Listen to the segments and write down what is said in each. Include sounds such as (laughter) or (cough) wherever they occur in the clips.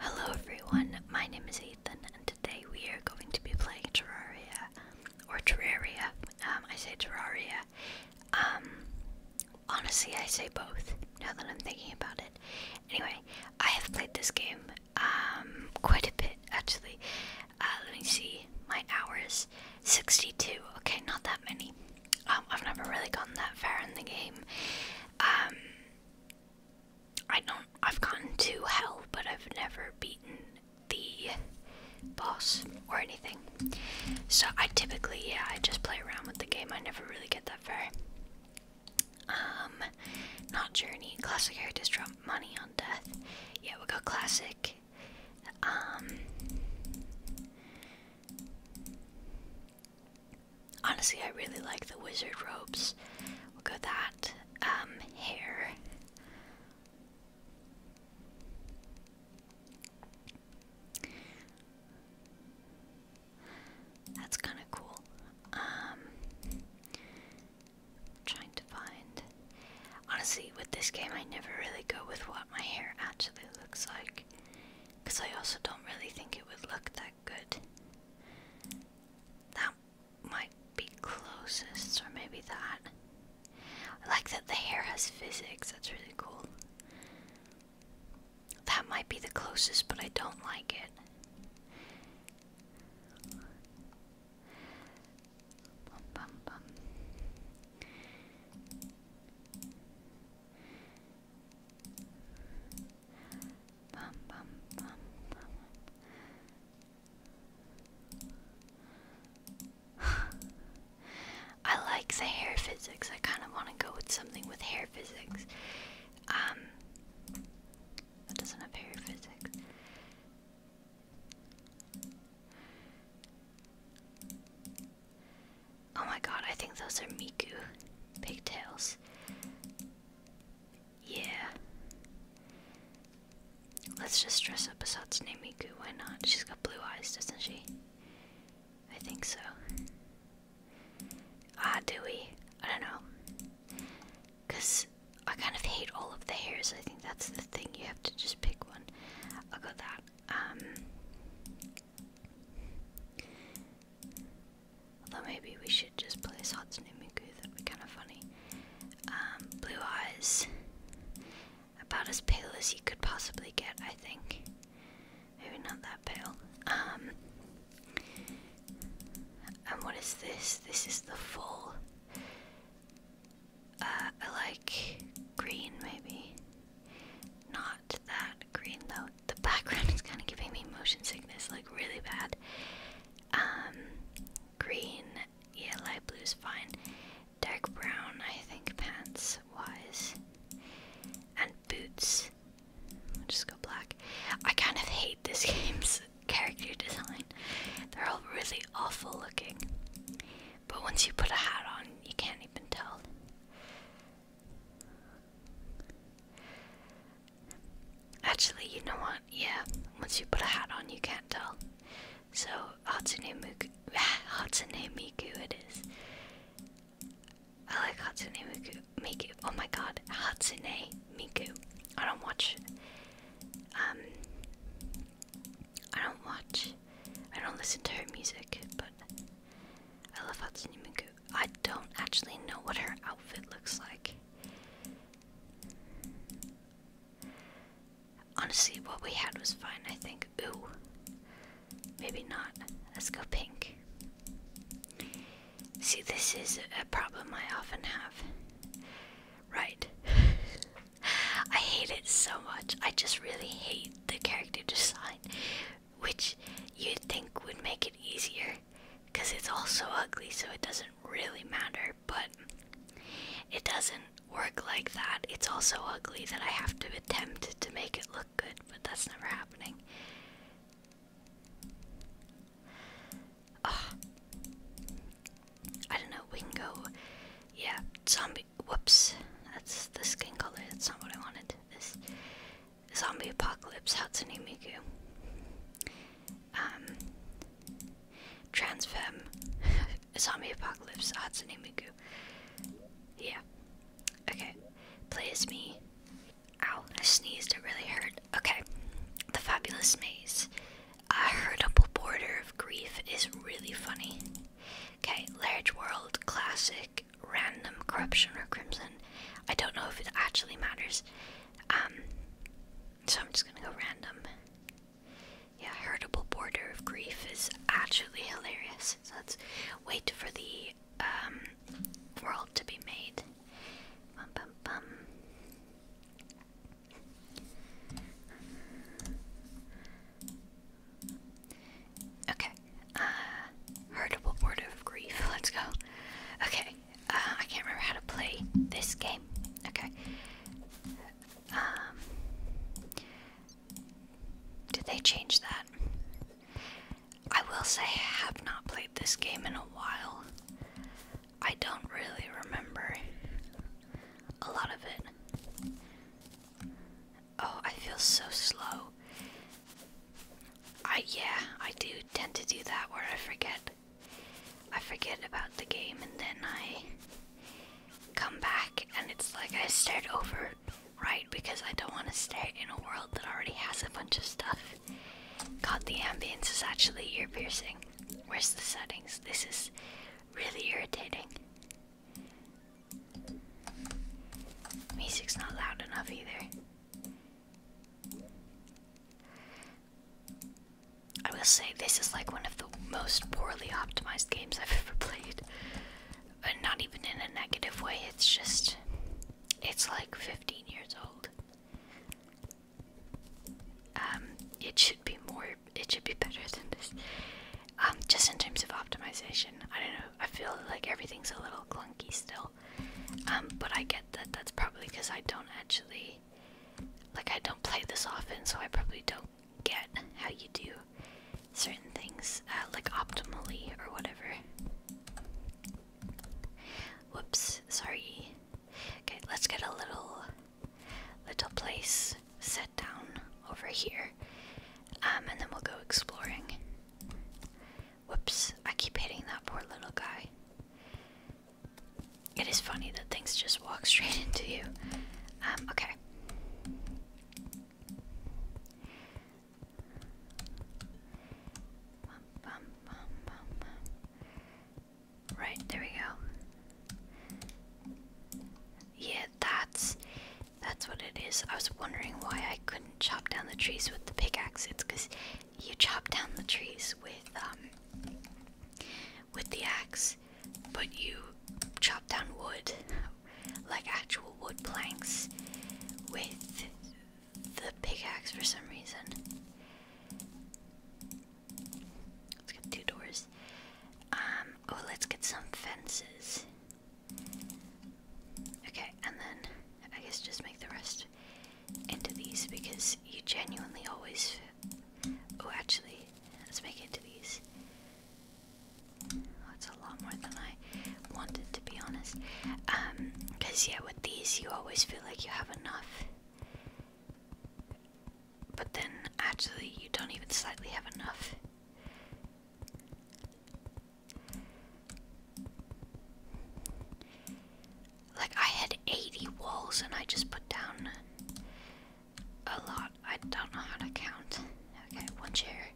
Hello everyone, my name is Ethan and today we are going to be playing Terraria, or Terraria, um, I say Terraria, um, honestly I say both, now that I'm thinking about it. Anyway, I have played this game, um, quite a bit actually, uh, let me see, my hours, 62, okay, not that many, um, I've never really gotten that far in the game. Um, I don't. I've gotten to hell, but I've never beaten the boss or anything. So I typically, yeah, I just play around with the game. I never really get that far. Um, not journey. Classic characters drop money on death. Yeah, we'll go classic. Um, honestly, I really like the wizard robes. We'll that. Um, hair. That's kind of cool. Um, trying to find. Honestly, with this game, I never really go with what my hair actually looks like. Because I also don't really think it would look that good. That might be closest, or maybe that. I like that the hair has physics, that's really cool. That might be the closest, but I don't like it. Bum, bum, bum, I like the hair physics. I kind of want to go with something with hair physics. Um, that doesn't have hair physics. Oh my god, I think those are Miku pigtails. Yeah. Let's just dress up as Hatsune Miku, why not? She's got blue eyes, doesn't she? I think so. Ah, do we? I don't know. Because I kind of hate all of the hairs. I think that's the thing. You have to just pick one. I'll go that. Um, Although maybe we should just place Hudson and that'd be kind of funny. Um, blue eyes. About as pale as you could possibly get, I think. Maybe not that pale. Um, and what is this? This is the full. I uh, like green, maybe. Not that green though. The background (laughs) is kind of giving me motion sickness, like really bad. Um, green, yeah, light blue is fine. Dark brown, I think pants wise, and boots. we just go black. I kind of hate this (laughs) game's character design. They're all really awful looking. But once you put a hat on, you can't even tell. Actually, you know what? Yeah, once you put a hat on, you can't tell. So, Hatsune Miku, (laughs) Hatsune Miku it is. I like Hatsune Miku. Miku. Oh my god, Hatsune Miku. I don't watch. Um. I don't watch. I don't listen to her music, but I love Hatsune Miku. I don't actually know what her outfit looks like. Honestly, what we had was fine, I think. Ooh. Maybe not. Let's go pink. See, this is a problem I often have. Right. (laughs) I hate it so much. I just really hate the character design which you'd think would make it easier because it's all so ugly, so it doesn't really matter, but it doesn't work like that. It's all so ugly that I have to attempt to make it look good, but that's never happening. Oh. I don't know, we can go. Yeah, zombie Whoops, that's the skin color. That's not what I wanted. This zombie apocalypse. Hatsune Miku. Um, trans femme. (laughs) zombie apocalypse. Hatsune Miku. Yeah. Okay. Play me. Ow! I sneezed. It really hurt. Okay. The fabulous maze. A hurtable border of grief is really funny. Okay, large world, classic, random corruption or crimson. I don't know if it actually matters. Um, so I'm just gonna go random. Yeah, heritable border of grief is actually hilarious. So let's wait for the um, world to be made. Bum, bum, bum. Okay. Uh, Board of Grief. (laughs) Let's go. Okay. Uh, I can't remember how to play this game. Okay. Um, did they change that? I will say I have not played this game in a while. I don't really remember a lot of it. Oh, I feel so slow. I yeah, I do tend to do that where I forget. I forget about the game and then I come back and it's like I start over, right? Because I don't want to start in a world that already has a bunch of stuff. God, the ambience is actually ear piercing. Where's the settings? This is really irritating. Music's not loud enough either. I will say this is like one of the most poorly optimized games I've (laughs) ever played. And not even in a negative way, it's just. It's like 15 years old. Um, it should be more. It should be better than this. Um, just in terms of optimization, I don't know. I feel like everything's a little clunky still. Um, but I get that that's probably because I don't actually, like, I don't play this often, so I probably don't get how you do certain things, uh, like optimally or whatever. Whoops, sorry. Okay, let's get a little, little place set down over here, um, and then we'll go exploring. Whoops, I keep hitting that poor little guy. It is funny that things just walk (laughs) straight into you. Um, okay. Right, there we go. Yeah, that's that's what it is. I was wondering why I couldn't chop down the trees with the pickaxe. It's because you chop down the trees with um with the axe, but you chop down wood, like actual wood planks, with the pickaxe for some reason. Let's get two doors. Um. Oh, let's get some fences. Okay, and then I guess just make the rest into these because you genuinely always. Oh, actually, let's make it to these. That's a lot more than I wanted, to be honest. Um, because yeah, with these, you always feel like you have enough. But then, actually, you don't even slightly have enough. Like, I had 80 walls and I just put down a lot. I don't know how to count. Okay, one chair,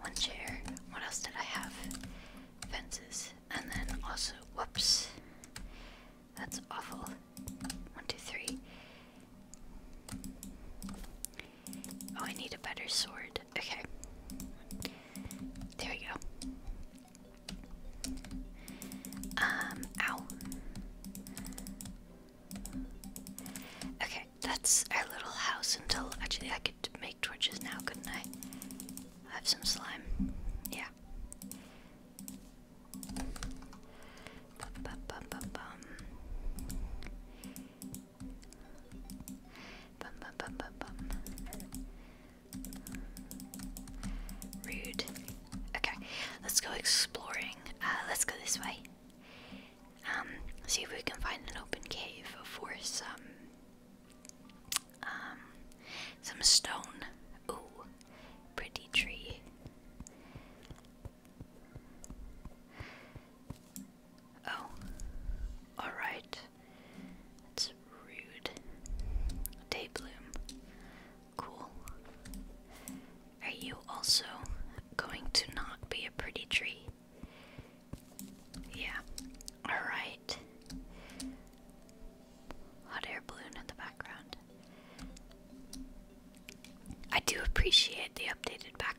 one chair. What else did I have? Fences. And then also, whoops. That's awful. One, two, three. Oh, I need a better sword. Okay. There we go. Um, ow. Okay, that's our little house until actually I could make torches now, couldn't I? I have some slime. Yeah. Rude. Okay, let's go exploring. Uh, let's go this way. Um, see if we can find an open cave for some, um, some stone. Ooh, pretty tree. Oh. Alright. That's rude. Daybloom. Cool. Are you also going to not be a pretty tree? Yeah. Alright. Hot air balloon in the background. I do appreciate the updated back.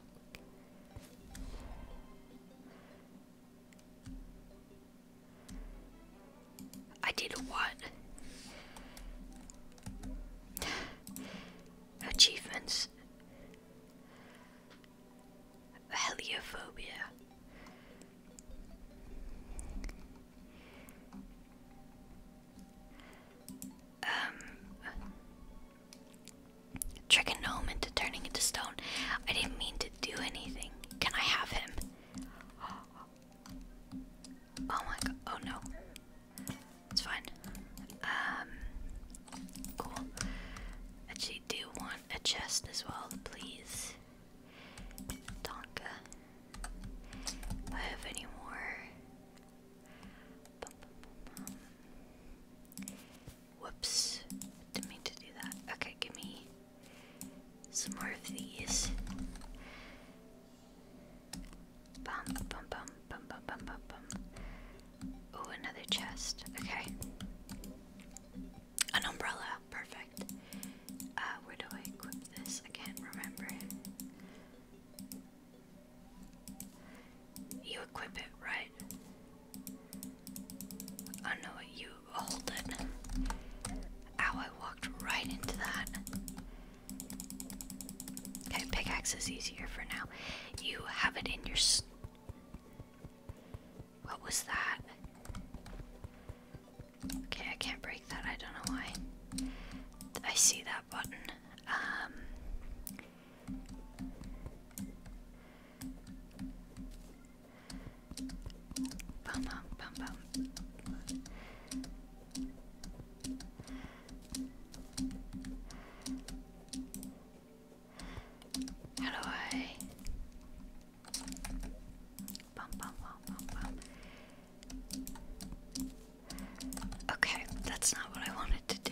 I did what? Achievements. Heliophobia. Um Trick a gnome into turning into stone. I didn't mean to do anything. Can I have him? Oh my god. Oh no. It's fine. Um, cool. Actually, do want a chest as well, please. Tonka. Do I have any more? Whoops. Didn't mean to do that. Okay, give me some more of these. Bum bum bum bum bum bum bum Oh, another chest. Okay. An umbrella. Perfect. Uh, where do I equip this? I can't remember. You equip it, right? I know what you hold it. Ow, I walked right into that. Okay, pickaxe is easier for now. You have it in your. S what was that? Okay, I can't break that. I don't know why. I see that button. Um, Bum bum bum bum. How do I? Bum bum bum Okay, that's not what I wanted to do.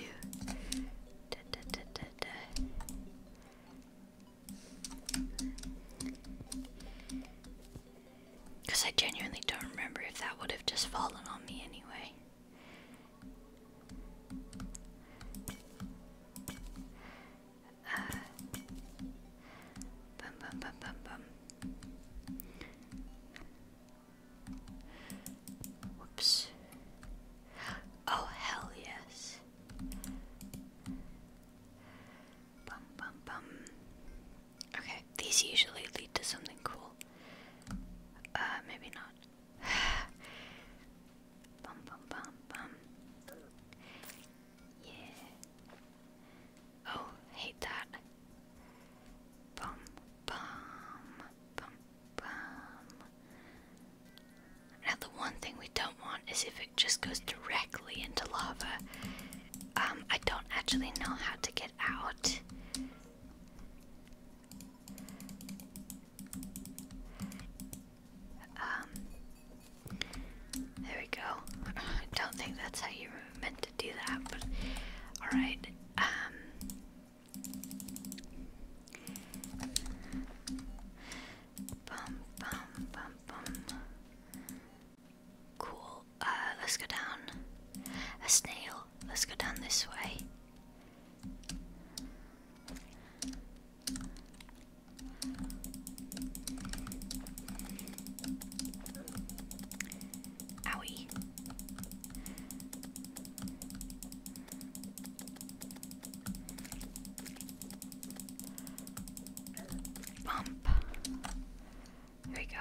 Because I genuinely don't remember if that would have just fallen on me anyway. Uh, oh, hell yes. Bum bum bum. Okay, these usually lead to something cool. Uh, maybe not. (sighs) bum bum bum bum. Yeah. Oh, hate that. Bum bum bum. Now the one thing we don't want is if it just goes directly into lava. Um, I don't actually know how to get out. Um, there we go. I don't think that's how you were meant to do that, but alright. Um. Cool. Uh, let's go down. A snail. Let's go down this way. Owie. Bump. There we go.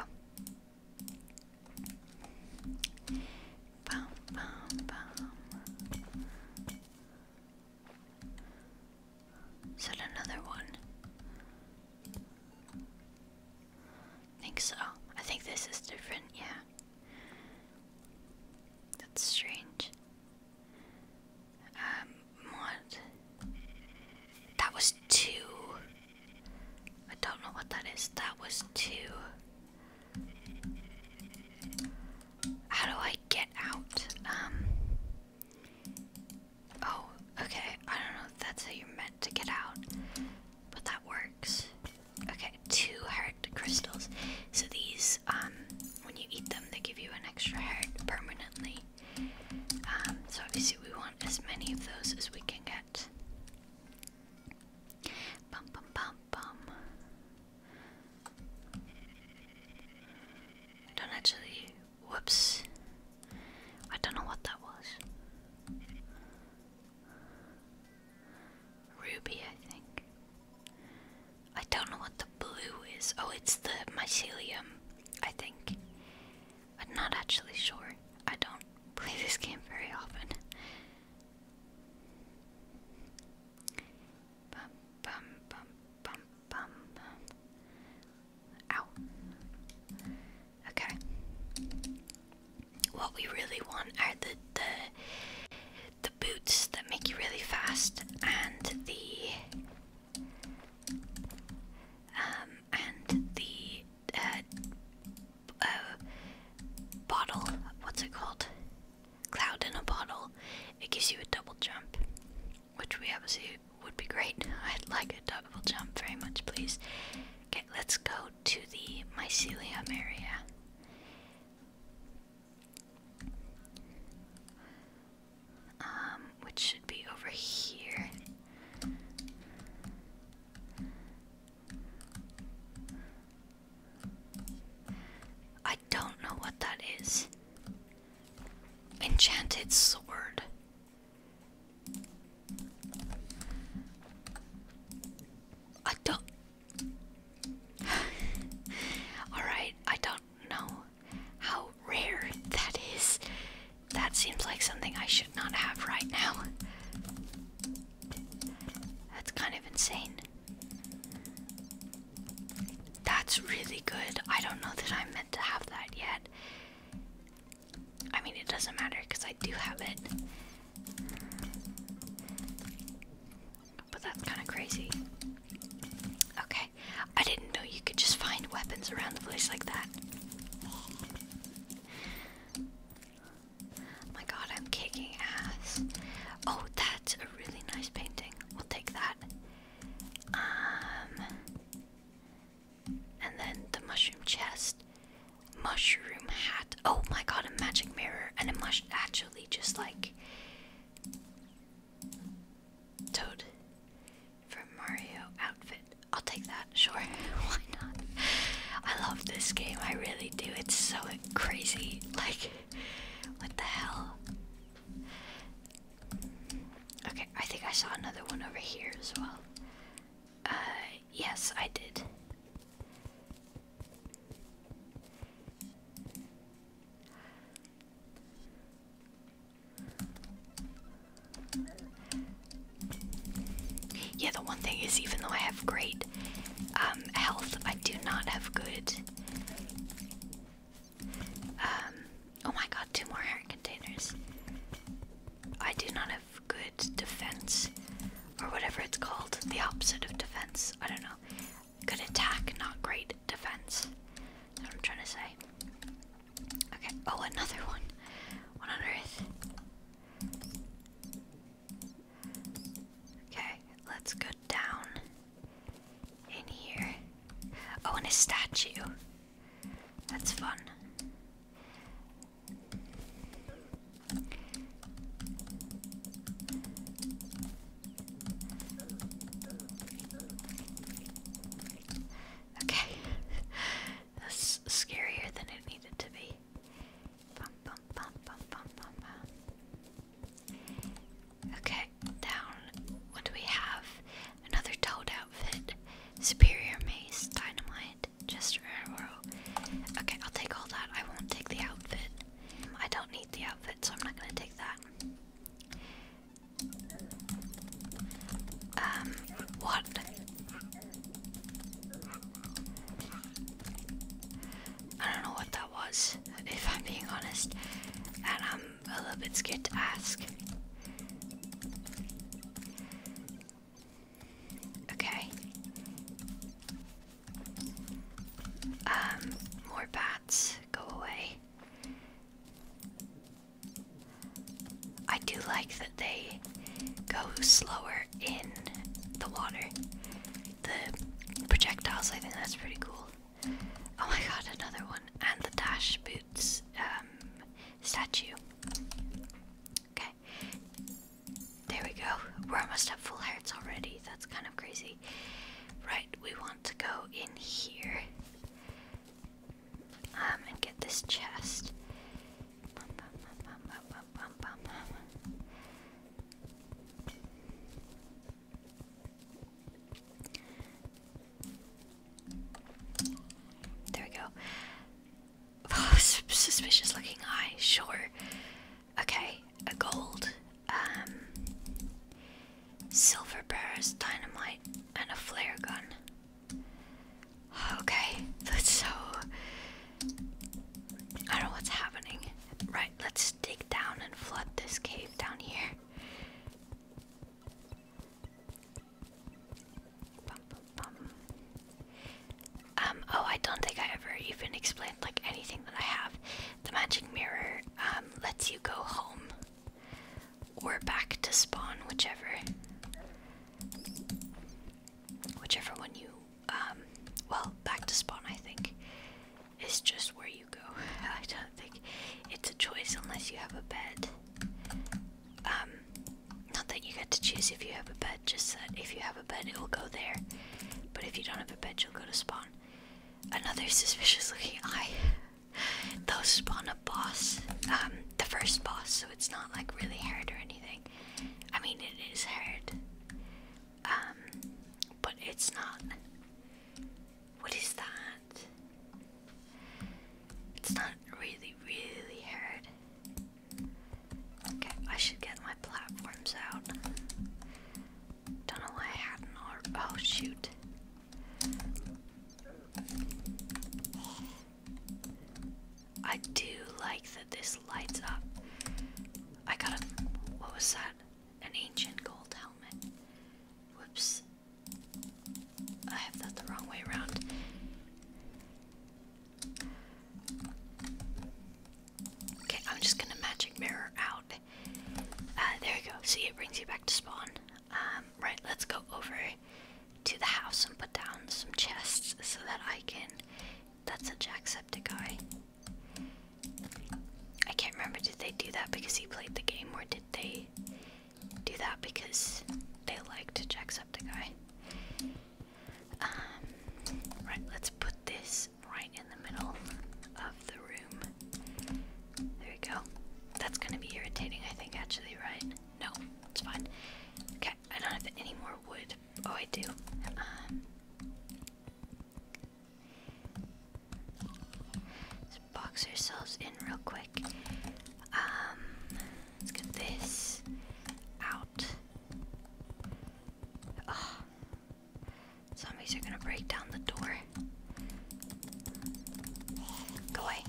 Bum, bum, bum. Is that another one? I think so. I think this is different, yeah. That's strange. Um, That was two. I don't know what that is. That was two. How do I get out? Um. Oh, okay. I don't know if that's how you're meant to get out, but that works. Okay, two heart crystals. So these, um, when you eat them, they give you an extra heart permanently. Um, so obviously, we want as many of those as we can get. don't actually. Whoops. I don't know what that was. Ruby, I think. I don't know what the blue is. Oh, it's the mycelium, I think. I'm not actually sure. I don't (laughs) play this game very often. Bum, bum, bum, bum, bum, Ow. Okay. What we really want are the the the boots that make you really fast and the um and the uh, uh bottle what's it called cloud in a bottle it gives you a double jump which we obviously would be great (laughs) i'd like a double jump very much please okay let's go to the mycelium area um, which should be over here. I don't know what that is. Enchanted sword. I don't (sighs) Alright, I don't know how rare that is. That seems like something I should not have right now. That's kind of insane. That's really good. I don't know that i meant to have that yet. I mean, it doesn't matter because I do have it. But that's kind of crazy. Okay, I didn't know you could just find weapons around the place like that. Oh my god, I'm kicking ass. Oh, that's a really nice painting. We'll take that. Um, and then the mushroom chest, mushroom hat. Oh my god, a magic mirror and a mushroom. Actually, just like Toad from Mario outfit. I'll take that, (laughs) sure. Why not? I love this game, I really do. It's so crazy. Like, what the hell? Okay, I think I saw another one over here as well. Uh, yes, I did. Yeah, the one thing is, even though I have great um, health, I do not have good. Um, oh my god, two more iron containers. I do not have good defense, or whatever it's called, the opposite of defense. I don't know. Good attack, not great defense. I'm trying to say. Okay, oh, another one. What on earth? Okay, let's go down in here. Oh, and a statue. That's fun. Okay. (laughs) That's scarier than it needed to be. Okay, down. What do we have? Another toad outfit. Superior mace, dynamite, just arrow. Okay, I'll take all that. I won't take the outfit. I don't need the outfit, so I'm not gonna take that. Um, what? I don't know what that was, if I'm being honest, and I'm a little bit scared to ask. Okay. Um, more bags rats go away. I do like that they go slower in the water. The projectiles, I think that's pretty cool. Oh my god, another one. And the Dash Boots um, statue. Okay. There we go. We're almost at full hearts already. That's kind of crazy. Right, we want to go in here um, and get this chest. There we go. (laughs) suspicious looking eye, sure. Okay, a gold um, silver bearers, dynamite, and a flare gun. Okay, (laughs) that's so. I don't know what's happening. Right, let's dig down and flood this cave down here. Um, oh, I don't think I ever even explained like anything that I have. The magic mirror um, lets you go home or back to spawn, whichever. Whichever one you. Um, well, back to spawn, I think, is just where you go. (laughs) I don't think it's a choice unless you have a bed. Um, not that you get to choose if you have a bed, just that if you have a bed, it will go there. But if you don't have a bed, you'll go to spawn. Another (laughs) suspicious looking eye they spawn a boss, um, the first boss, so it's not like really hard or anything. I mean, it is hard, um, but it's not. What is that? It's not really, really hard. Okay, I should get my platforms out. Don't know why I hadn't Oh, shoot. I do like that this lights up. I got a. What was that? An ancient gold helmet. Whoops. I have that the wrong way around. Okay, I'm just gonna magic mirror out uh, there we go. See, it brings you back to spawn. Um, right, let's go over to the house and put down some chests so that I can. That's a Jacksepticeye. I can't remember. Did they do that because he played the game, or did they do that because they liked Jacksepticeye? Um, right, let's put this right in the middle of the room. There we go. That's gonna be irritating, I think, actually, right? No, it's fine. Okay, I don't have any more wood. Oh, I do. Um, let's box ourselves in real quick. Um, let's get this out. Zombies are gonna break down the door. Go away.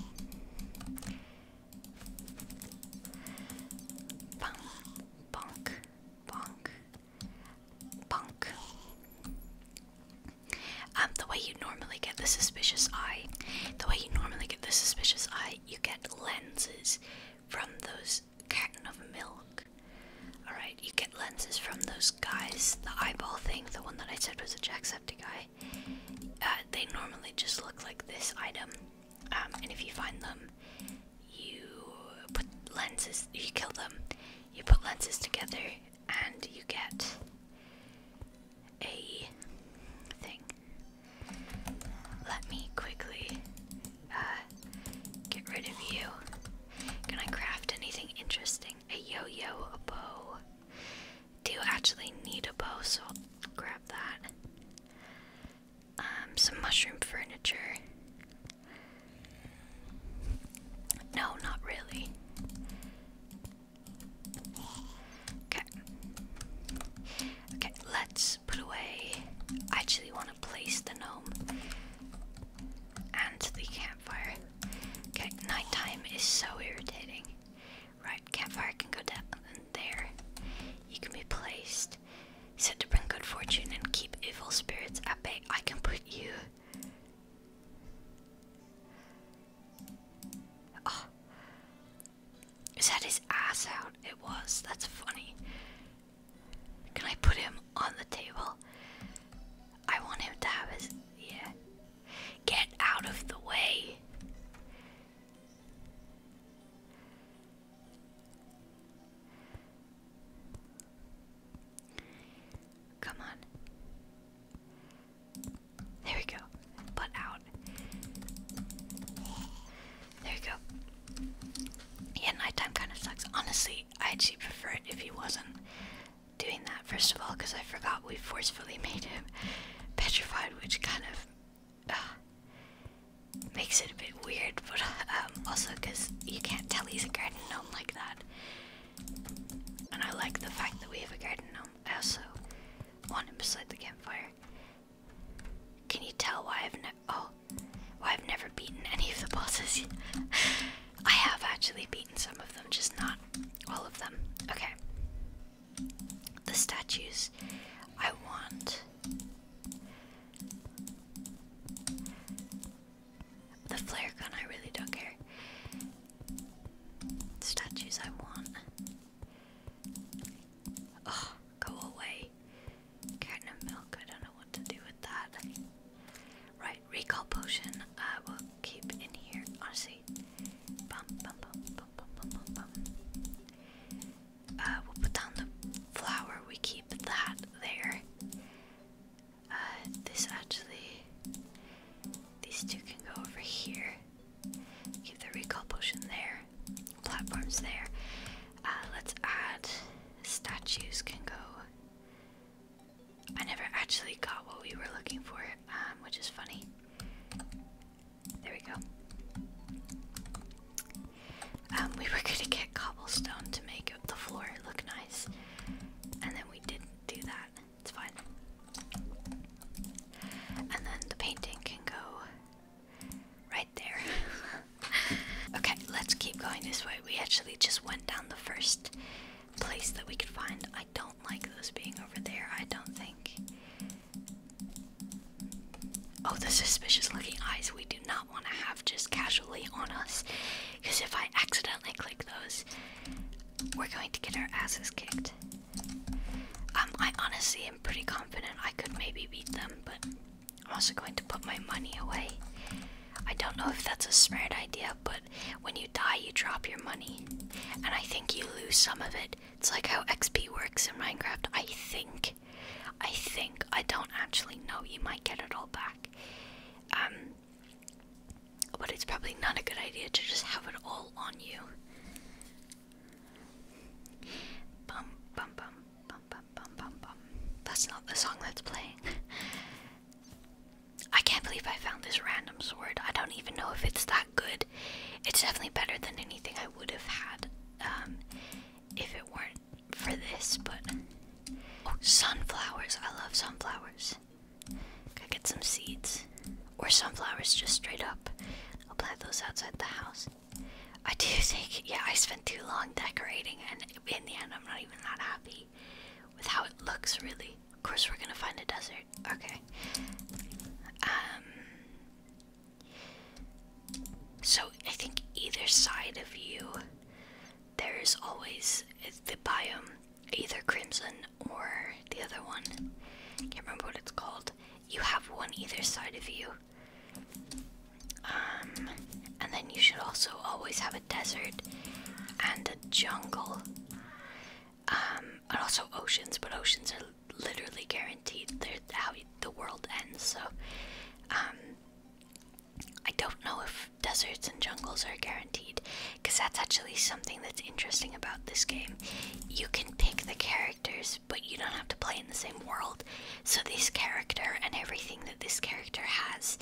Bonk, bonk, bonk, bonk. Um, the way you normally get the suspicious eye, the way you normally get the suspicious eye, you get lenses from those carton of milk. Alright, you get lenses from those guys. The eyeball thing, the one that I said was a Jacksepticeye. Uh, they normally just look like this item, um, and if you find them, you put lenses. You kill them. You put lenses together, and you get a thing. Let me quickly uh, get rid of you. Can I craft anything interesting? A yo-yo, a bow, do you actually need a bow, so I'll grab that. Um, some mushroom furniture. No, not really. Okay. Okay, let's put away. I actually want to place the gnome and the campfire. Okay, nighttime is so irritating. Right, campfire can go down there. You can be placed. Said to bring good fortune and keep evil spirits at bay. I can put you. Oh. Is that his ass out? It was. That's funny. Can I put him on the table? I want him to have his. Yeah. Get out of the way. Come on. There we go. Butt out. There you go. Yeah, nighttime kind of sucks. Honestly, I actually prefer it if he wasn't doing that first of all because I forgot we forcefully (laughs) made him petrified, which kind of uh, makes it a bit weird, but um, also because you can't tell he's a garden gnome like that. And I like the fact that we have a garden gnome. I also want him beside the campfire. Can you tell why I've never? Oh, why I've never beaten any of the bosses? (laughs) I have actually beaten eaten some of them, just not all of them. Okay. The statues I want. The flare gun, I really don't care. statues I want. Oh, go away. Carton of milk, I don't know what to do with that. Right, recall potion I will keep in here. Honestly, bum uh, we'll put down the flower. We keep that there. Uh, this actually, these two can go over here. Keep the recall potion there. Platforms there. Uh, let's add statues can go I never actually got what we were looking for, um, which is funny. There we go. Um, we were (laughs) gonna get cobblestone to make the floor look nice, and then we didn't do that. It's fine. And then the painting can go right there. (laughs) okay, let's keep going this way. We actually just went down the first place that we could find. I don't like those being over there, I don't think. Oh, the suspicious looking eyes we do not want to have just casually on us. Because if I accidentally click those, we're going to get our asses kicked. Um, I honestly am pretty confident I could maybe beat them, but I'm also going to put my money away. I don't know if that's a smart idea, but when you die, you drop your money. And I think you lose some of it. It's like how XP works in Minecraft, I think. I think. I don't actually know. You might get it all back. Um, but it's probably not a good idea to just have it all on you. Bum, bum, bum, bum, bum, bum, bum, bum. That's not the song that's playing. (laughs) I can't believe I found this random sword. I don't even know if it's that good. It's definitely better than anything I would have had um, if it weren't for this, but. Oh, sunflowers. I love sunflowers. Gotta get some seeds. Or sunflowers just straight up. I'll plant those outside the house. I do (laughs) think, yeah, I spent too long decorating, and in the end, I'm not even that happy with how it looks, really. Of course, we're gonna find a desert. Okay. Um. So I think either side of you, there is always the biome, either crimson or the other one. Can't remember what it's called. You have one either side of you. Um, and then you should also always have a desert and a jungle. Um, and also oceans, but oceans are literally guaranteed they're how the world ends. So, um, I don't know if deserts and jungles are guaranteed, because that's actually something that's interesting about this game. You can pick the characters, but you don't have to play in the same world. So, this character and everything that this character has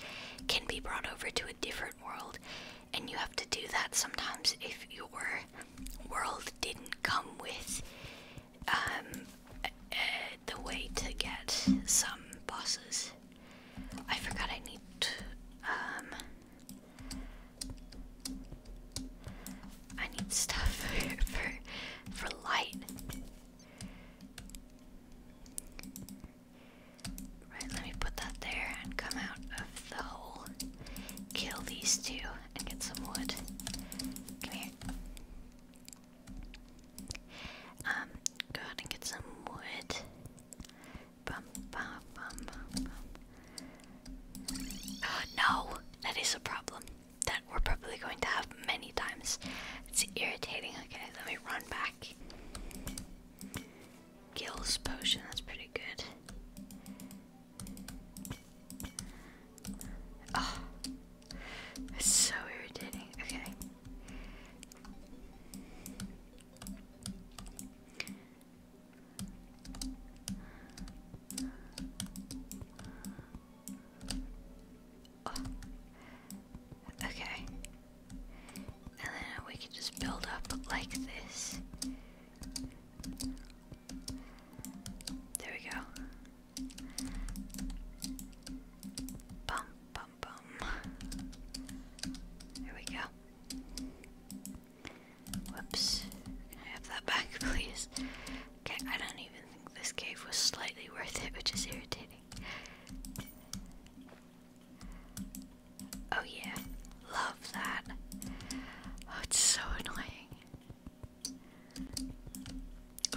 can be brought over to a different world, and you have to do that sometimes if your world didn't come with um, the way to get some bosses. I forgot I need um, I need stuff (laughs) for, for light. Right, let me put that there and come out of the hole. Kill these two and get some wood. Come here. Um, go out and get some wood. Bum, bum, bum, bum, bum. (gasps) no, that is a problem that we're probably going to have many times. It's irritating. Okay, let me run back. Gills potion, that's pretty good. Ah, it's so irritating. Okay. Ah, okay. And then we can just build up like this. There we go. Bum, bum, bum. There we go. Whoops. have that back, (laughs) please? Okay, I don't even think this cave was slightly worth it, which is irritating. Oh yeah, love that. Oh, it's so annoying.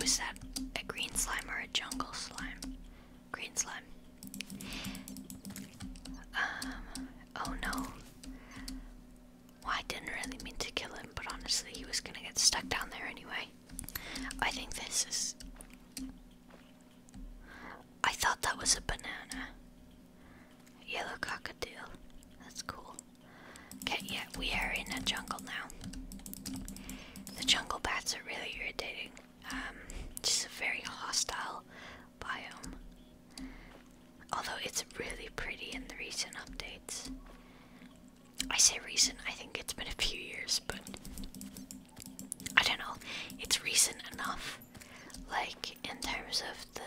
Was that a green slime or a jungle slime? Green slime. Um, oh no. Well, I didn't really mean to kill him, but honestly, he was gonna get stuck down there anyway. I think this is. I thought that was a banana. Yellow cockatoo. That's cool. Okay, yeah, we are in a jungle now. The jungle bats are really irritating. Um, just a very hostile biome. Although it's really pretty in the recent updates. I say recent, I think it's been a few years, but I don't know. It's recent enough. Like, in terms of the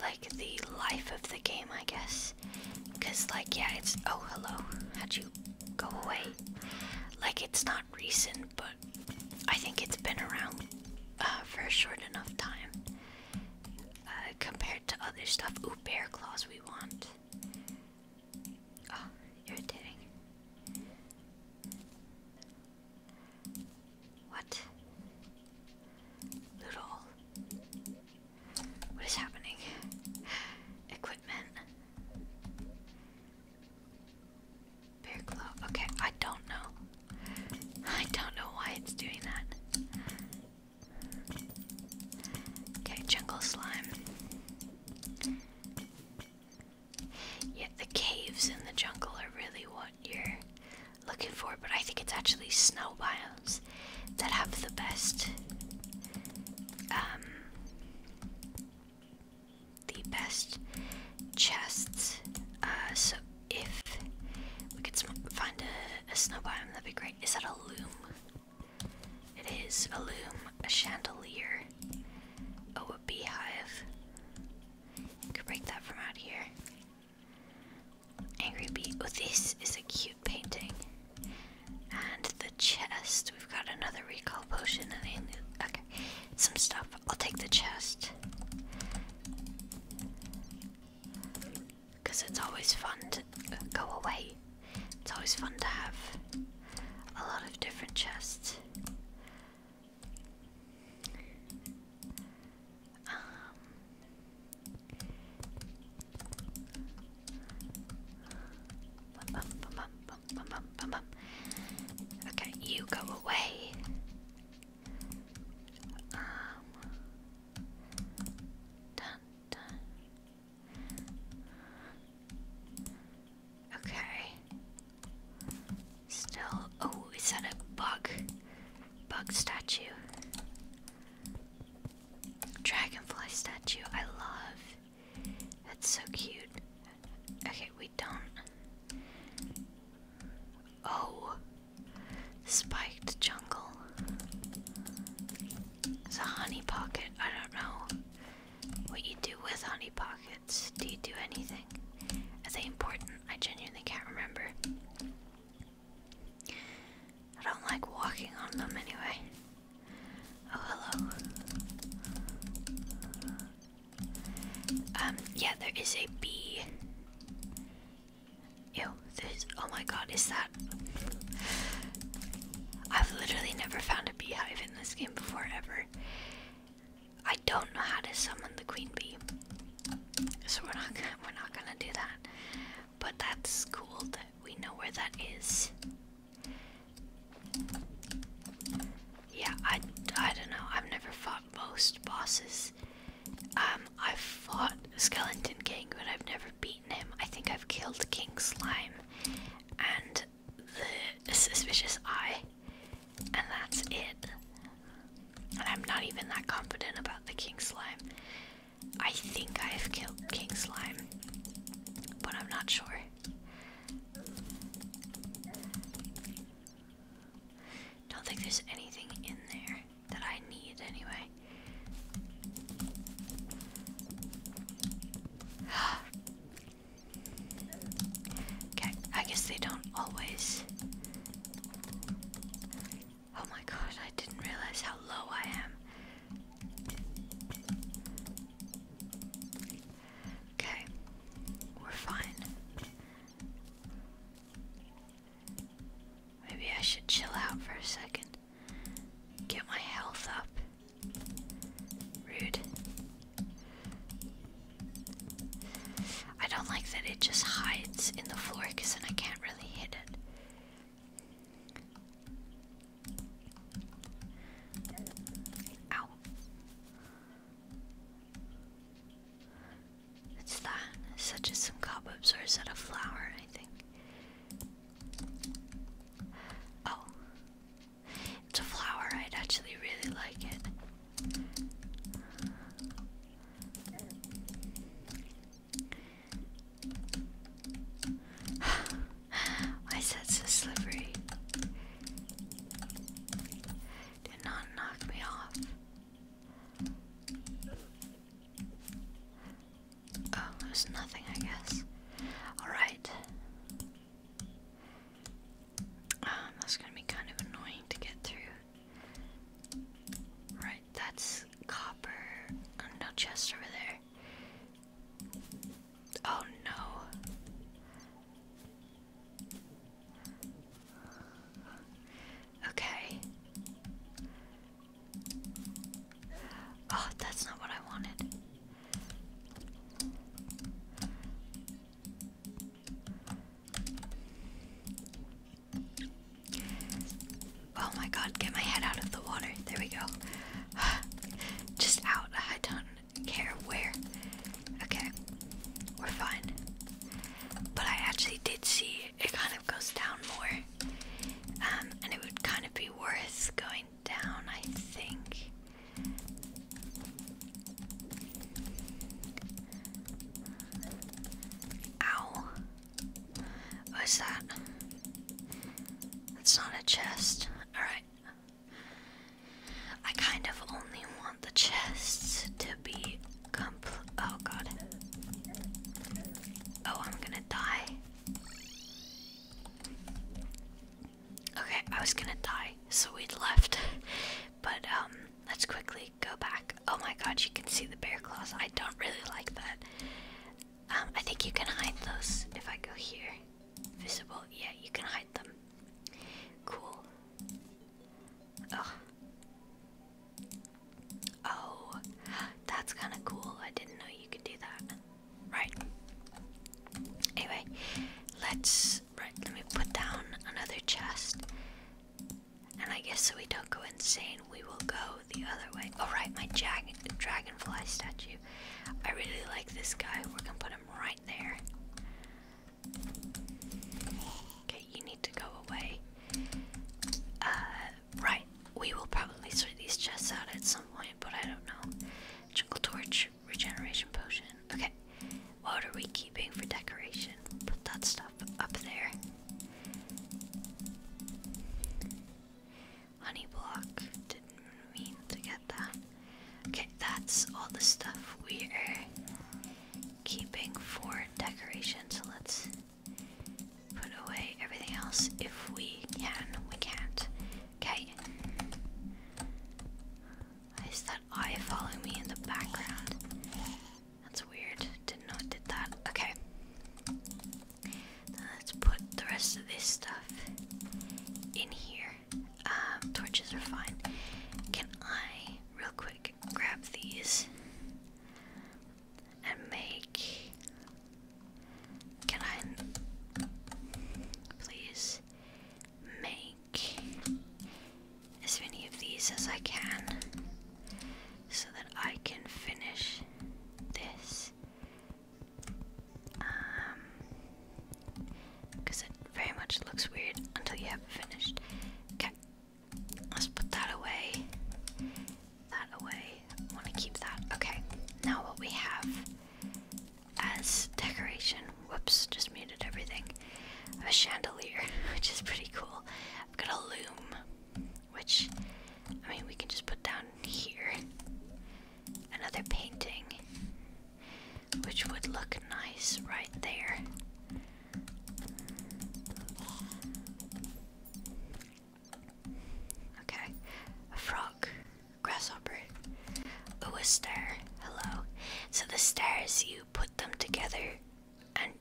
like the life of the game, I guess. Cause like yeah, it's oh hello, how'd you go away? Like it's not recent, but I think it's been around uh, for a short enough time uh, compared to other stuff. Ooh, bear claws we want. Oh, irritating. What? Loot What is happening? Equipment. Bear claw. Okay, I don't know. I don't know why it's doing that. Okay, jungle slime. Yeah, the caves in the jungle are really what you're looking for, but I think it's actually snow biomes that have the best um, the best chests. Uh, so if we could find a, snow biome, that'd be great. Is that a loom? It is a loom, a chandelier, oh a beehive. You could break that from out here. Angry bee. Oh, this is a cute painting. And the chest. We've got another recall potion and okay, some stuff. I'll take the chest. Because it's always fun to uh, go away. It's always fun to have a lot of different chests. Um, okay, you go away. Um, okay. Still, oh, is that a bug? Bug statue. Dragonfly statue, I love. That's so cute. Okay, we don't. Oh, spiked jungle. It's a honey pocket. I don't know what you do with honey pockets. Do you do anything? something. I important, I genuinely can't remember. I don't like walking on them anyway. Oh, hello. Um, yeah, there is a bee. Ew, there's. Oh my god, is that. I've literally never found a beehive in this game before, ever. I don't know how to summon the queen bee, so we're not gonna, we're not gonna do that. But that's cool that we know where that is. Yeah, I I don't know. I've never fought most bosses. Um, I've fought Skeleton King, but I've never beaten him. I think I've killed King Slime and the suspicious eye, and that's it. And I'm not even that confident about the king slime. I think I have killed king slime, but I'm not sure. Don't think there's anything in there that I need anyway. Okay, I guess they don't always. Oh my god, I didn't realize how low I am. Okay, we're fine. Maybe I should chill out for a second. Get my health up. Rude. I don't like that it just hides in the floor because then I can't really hit it. Ow. It's that, such as some cobwebs, or is that a flower? I think. Oh. It's a flower. I'd actually really like it. (sighs) Why is that so slippery? Did not knock me off. Oh, there's nothing, I guess. Alright. Um, that's gonna be kind of annoying to get through. Right, that's copper. Oh, no chest over there. Oh no. Okay. Oh, that's not what I wanted. Oh my god, get my head out of the water. There we go. (sighs) Just out. I don't care where. Okay, we're fine. But I actually did see it kind of goes down more. Um, and it would kind of be worth going down, I think. Ow. What is that? That's not a chest. Alright. I kind of only want the chests to be compl- oh god. Oh, I'm gonna die. Okay, I was gonna die, so we left. (laughs) But, um, Let's quickly go back. Oh my god, you can see the bear claws. I don't really like that. Um, I think you can hide those if I go here. Visible. Yeah, you can hide them. Cool. Oh. Oh. That's kind of cool. I didn't know you could do that. Right. Anyway, let's Right, let me put down another chest. And I guess so we don't go insane, we will go the other way. All oh, right, my jag dragonfly statue. I really like this guy. We're gonna put him right there. Okay, you need to go away. Uh, right, we will probably sort these chests out at some point, but I don't know. Jungle torch, regeneration potion. Okay, what are we keeping for decoration? Put that stuff up there. Honey block. Didn't mean to get that. Okay, that's all the stuff we are keeping for decoration. So let's put away everything else if we can. We can't. Okay. Why oh, is that eye following me in the background? That's weird. Didn't know it did that. Okay. let's put the rest of this stuff in here. Um, torches are fine. Can I, real quick, grab these and make. Can I. Please make as many of these as I can so that I can finish this. Um, because it very much looks weird until you have finished. Okay, let's put that away. That away. want to keep that. Okay, now what we have as decoration Whoops, just muted everything. A chandelier, (laughs) which is pretty cool. I've got a loom, which I mean we can just put down here. Another painting, which would look nice right there. Okay, a frog, grasshopper, a star. Hello. So the stars, you put them together and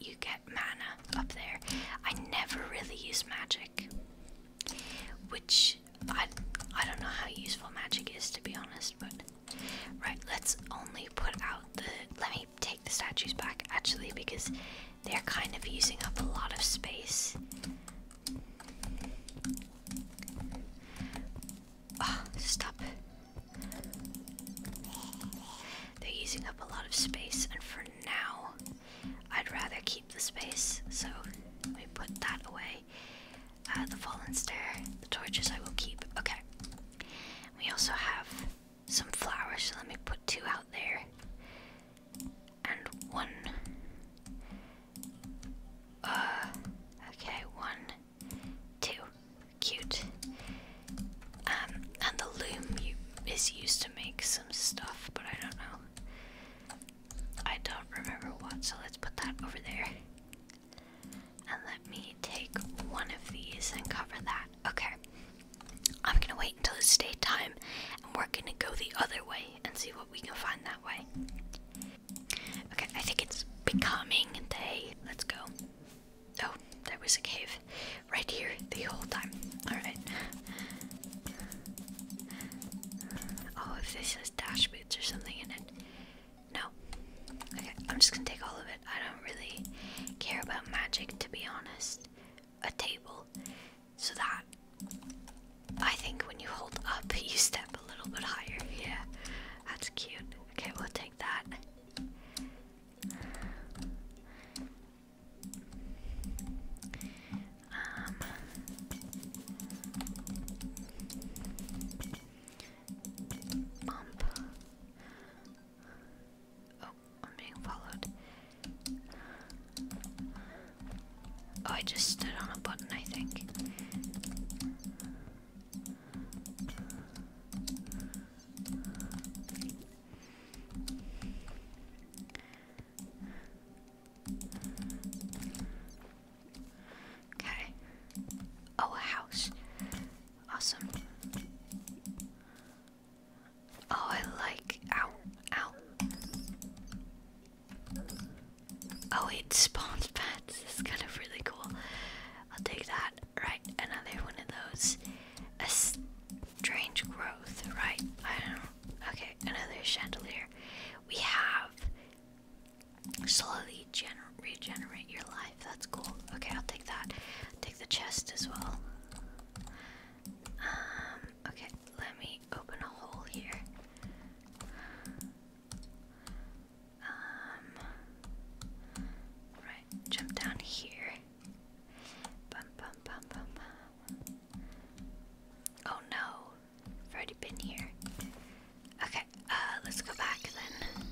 you get mana up there. I never really use magic, which I I don't know how useful magic is to be honest. But right, let's only put out the. Let me take the statues back actually because they're kind of using up a lot of space. Oh, stop. They're using up a lot of space, and for now, I'd rather keep the space, so we put that away. Uh, the fallen stair, the torches I will keep. Okay. We also have some flowers, so let me put two out there. And one. Uh, okay, one. Too Cute. Um, and the loom is used to make some stuff, but I don't know. I don't remember what, so let's put that over there. And let me take one of these and cover that. Okay. I'm gonna wait until it's daytime and we're gonna go the other way and see what we can find that way. Okay, I think it's becoming day. Let's go. Oh, there was a cave right here the whole time. Alright. Oh, if this has dash boots or something in it. No. Okay, I'm just gonna take all of it. I don't really care about magic, to be honest. A table. So that. I think when you hold up, (laughs) you step a little bit higher. Yeah, that's cute. Okay, we'll take that. Um, bump. Oh, I'm being followed. Oh, I just stood on a button, I think. Okay. Oh, a house. Awesome. Oh, I like. Ow, ow. Oh, it spawns pets. It's kind of really cool. I'll take that. Right, another one of those. A strange growth, right? I don't know. Okay, another chandelier. We have slowly regenerate your life. That's cool. Okay, I'll take that. Take the chest as well. Um, okay, let me open a hole here. Um, right, jump down here. Bum, bum, bum, bum, bum. Oh no, I've already been here. Okay, uh, let's go back then.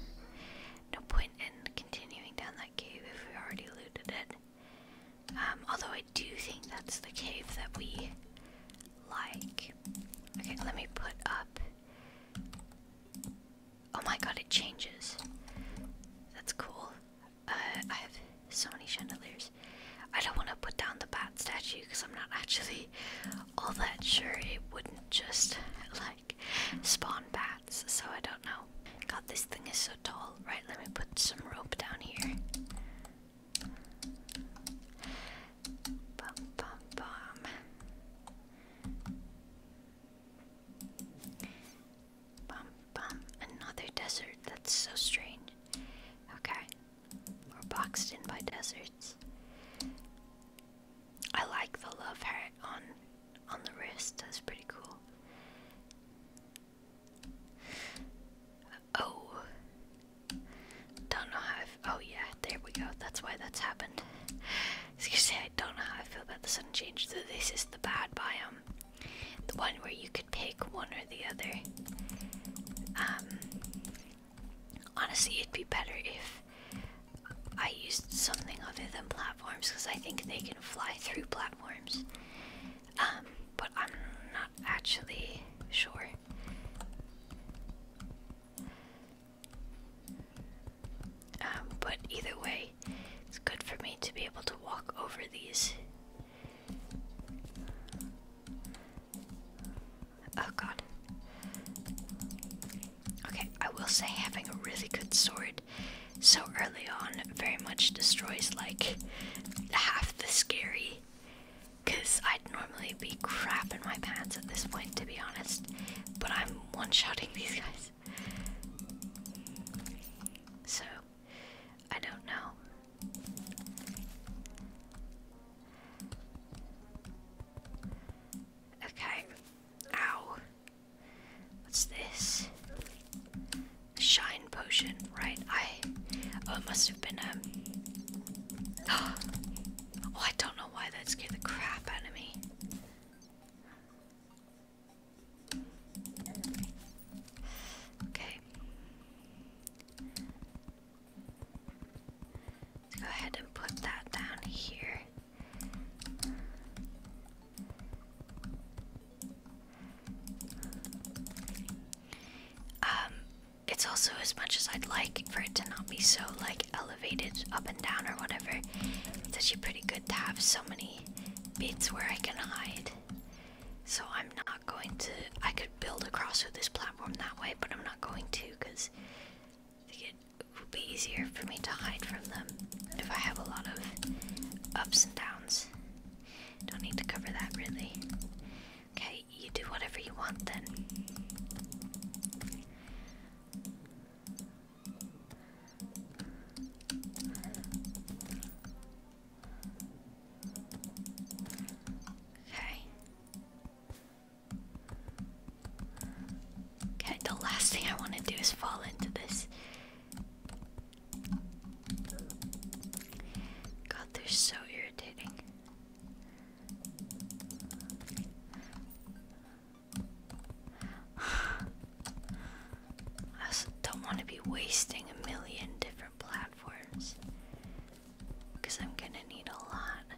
No point in continuing down that cave if we already looted it. Um, although I do think that's the cave that we like. Okay, let me put up Oh my god, it changes. That's cool. Uh, I have so many chandeliers. I don't want to put down the bat statue because I'm not actually all that sure it wouldn't just like spawn bats, so I don't know. God, this thing is so tall. Right, let me put some rope down here. Bum, bum, bum. Bum bum. Another desert. That's so strange. Okay. We're boxed in by deserts. I like the love heart on on the wrist. That's pretty cool. Oh. Don't know how Oh, yeah, there we go. That's why that's happened. So you say, I don't know how I feel about the sudden change. So this is the bad biome, the one where you could pick one or the other. Um, honestly, it'd be better if I used something other than platforms because I think they can fly through platforms. Um, but I'm not actually sure. Um, but either way, it's good for me to be able to walk over these. Oh god. Okay, I will say having a really good sword so early on very much destroys like half the scary. Because I'd normally be crap in my pants at this point, to be honest. But I'm one shooting (laughs) these guys. So, I don't know. Okay. Ow. What's this? shine potion, right? I. Oh, it must have been um. (gasps) Oh, I don't know why that scared the crap out of me. Okay. go ahead and put that down here. Um, it's also as much as I'd like for it to not be so like up and down or whatever. It's actually pretty good to have so many bits where I can hide. So I'm not going to. I could build across with this platform that way, but I'm not going to because I think it would be easier for me to hide from them if I have a lot of ups and downs. Don't need to cover that really. Okay, you do whatever you want then. Okay. Okay, the last thing I want to do is fall into this. God, they're so irritating. (sighs) I don't want to be wasting a million different platforms because I'm gonna need a lot.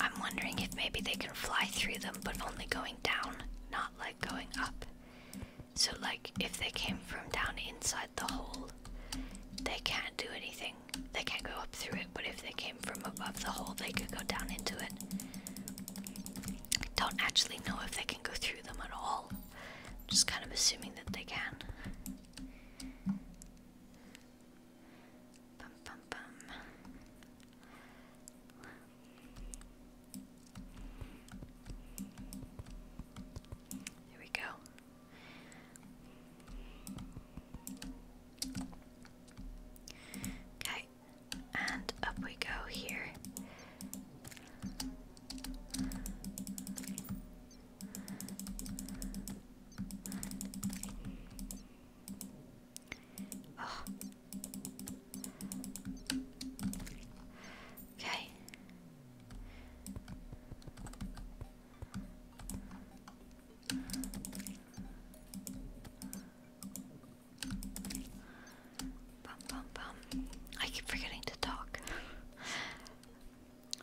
I'm wondering if maybe they can fly through them but only going down, not like going up. So, like, if they came from down inside the hole, they can't do anything they can't go up through it, but if they came from above the hole, they could go down into it. Don't actually know if they can go through them at all. Just kind of assuming that they can. Bum, we go. Okay, and up we go here. Oh. Okay. Bum bum bum. I keep forgetting to talk.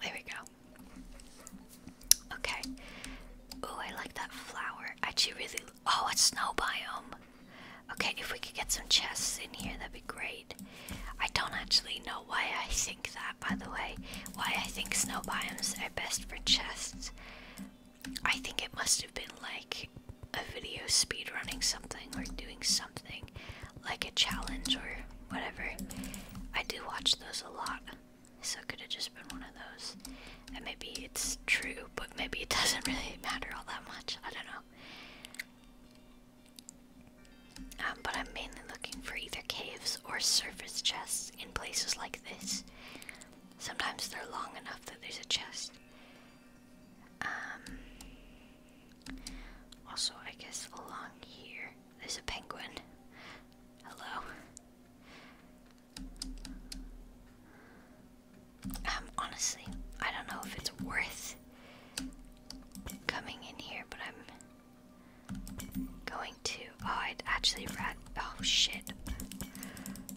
there we go. Okay. Ooh, I like that flower. Actually, really. Oh, it's snow biome. Okay, if we could get some chests in here, that'd be great. I don't actually know why I think that, by the way. Why I think snow biomes are best for chests. I think it must have been like a video speed running something or doing something like a challenge or whatever. I do watch those a lot, so it could have just been one of those. And maybe it's true, but maybe it (laughs) doesn't really matter all that much. I don't know. Um, but I'm mainly looking for either caves or surface chests in places like this. Sometimes they're long enough that there's a chest. Um, also, I guess along here there's a penguin. Hello. Um, honestly, I don't know if it's worth coming in here, but I'm going to Oh, I actually ran. Oh shit.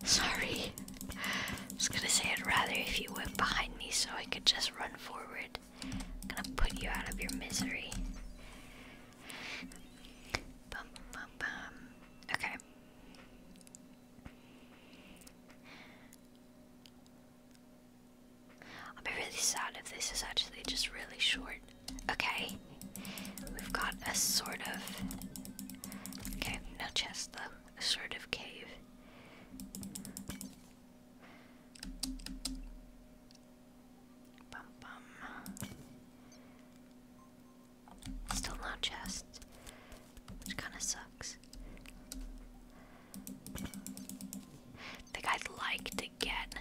Sorry. I was gonna say I'd rather if you went behind me so I could just run forward. I'm gonna put you out of your misery. Okay. I'll be really sad if this is actually just really short. Okay. We've got a sort of. Okay, no chest though. sort of cave. Still no chest, which kind of sucks. think I'd like to get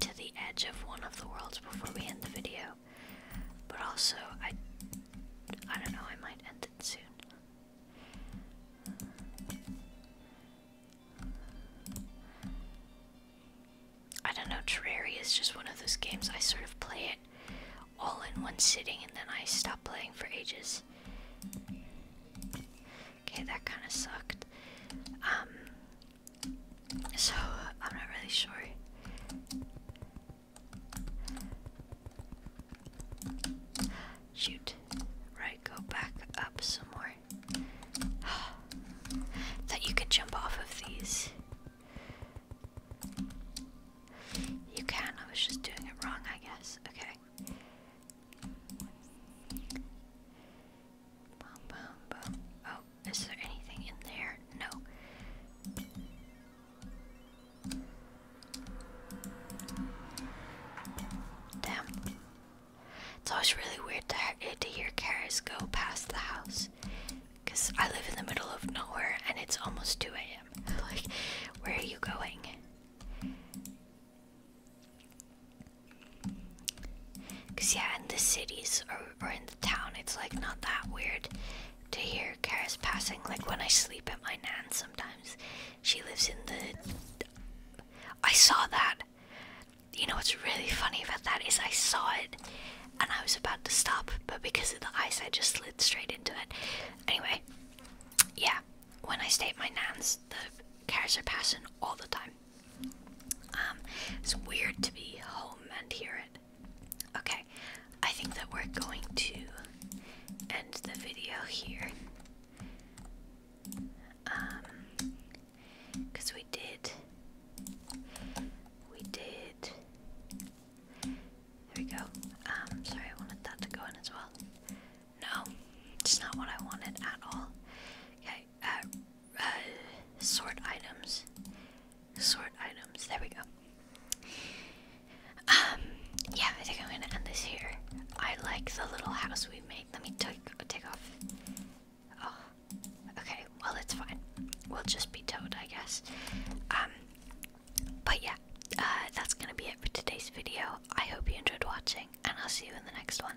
to the edge of one of the worlds before we end the video. But also, I, I don't know. I might end it soon. I don't know. Terraria is just one of those games. I sort of play it all in one sitting, and then I stop playing for ages. Okay, that kind of sucked. Um, so I'm not really sure. Shoot. Right, go back up some more. (sighs) that you could jump off of these. You can, I was just doing it wrong, I guess. Okay. Oh, is there anything in there? No. Damn. It's always really weird to, eh, to hear cars go past the house. Because I live in the middle of nowhere and it's almost 2 a.m. (laughs) like, where are you going? Because, yeah, and the cities are or in the town, it's like not that weird to hear cars passing. Like when I sleep at my nan's sometimes, she lives in the. I saw that. You know what's really funny about that is I saw it and I was about to stop, but because of the ice, I just slid straight into it. Anyway, yeah, when I stay at my nan's, the cars are passing all the time. Um, it's weird to be home and hear it. Okay, I think that we're going to end the video here. Um, because we did, we did. There we go. Um, sorry, I wanted that to go in as well. No, it's not what I wanted at all. Okay, uh, uh, items sort items. There we go. Um, yeah, I think I'm gonna end this here. I like the little house we made. Let me take take off. Oh, okay. Well, it's fine. We'll just be towed, I guess. Um, but yeah, uh, that's gonna be it for today's video. I hope you enjoyed watching, and I'll see you in the next one.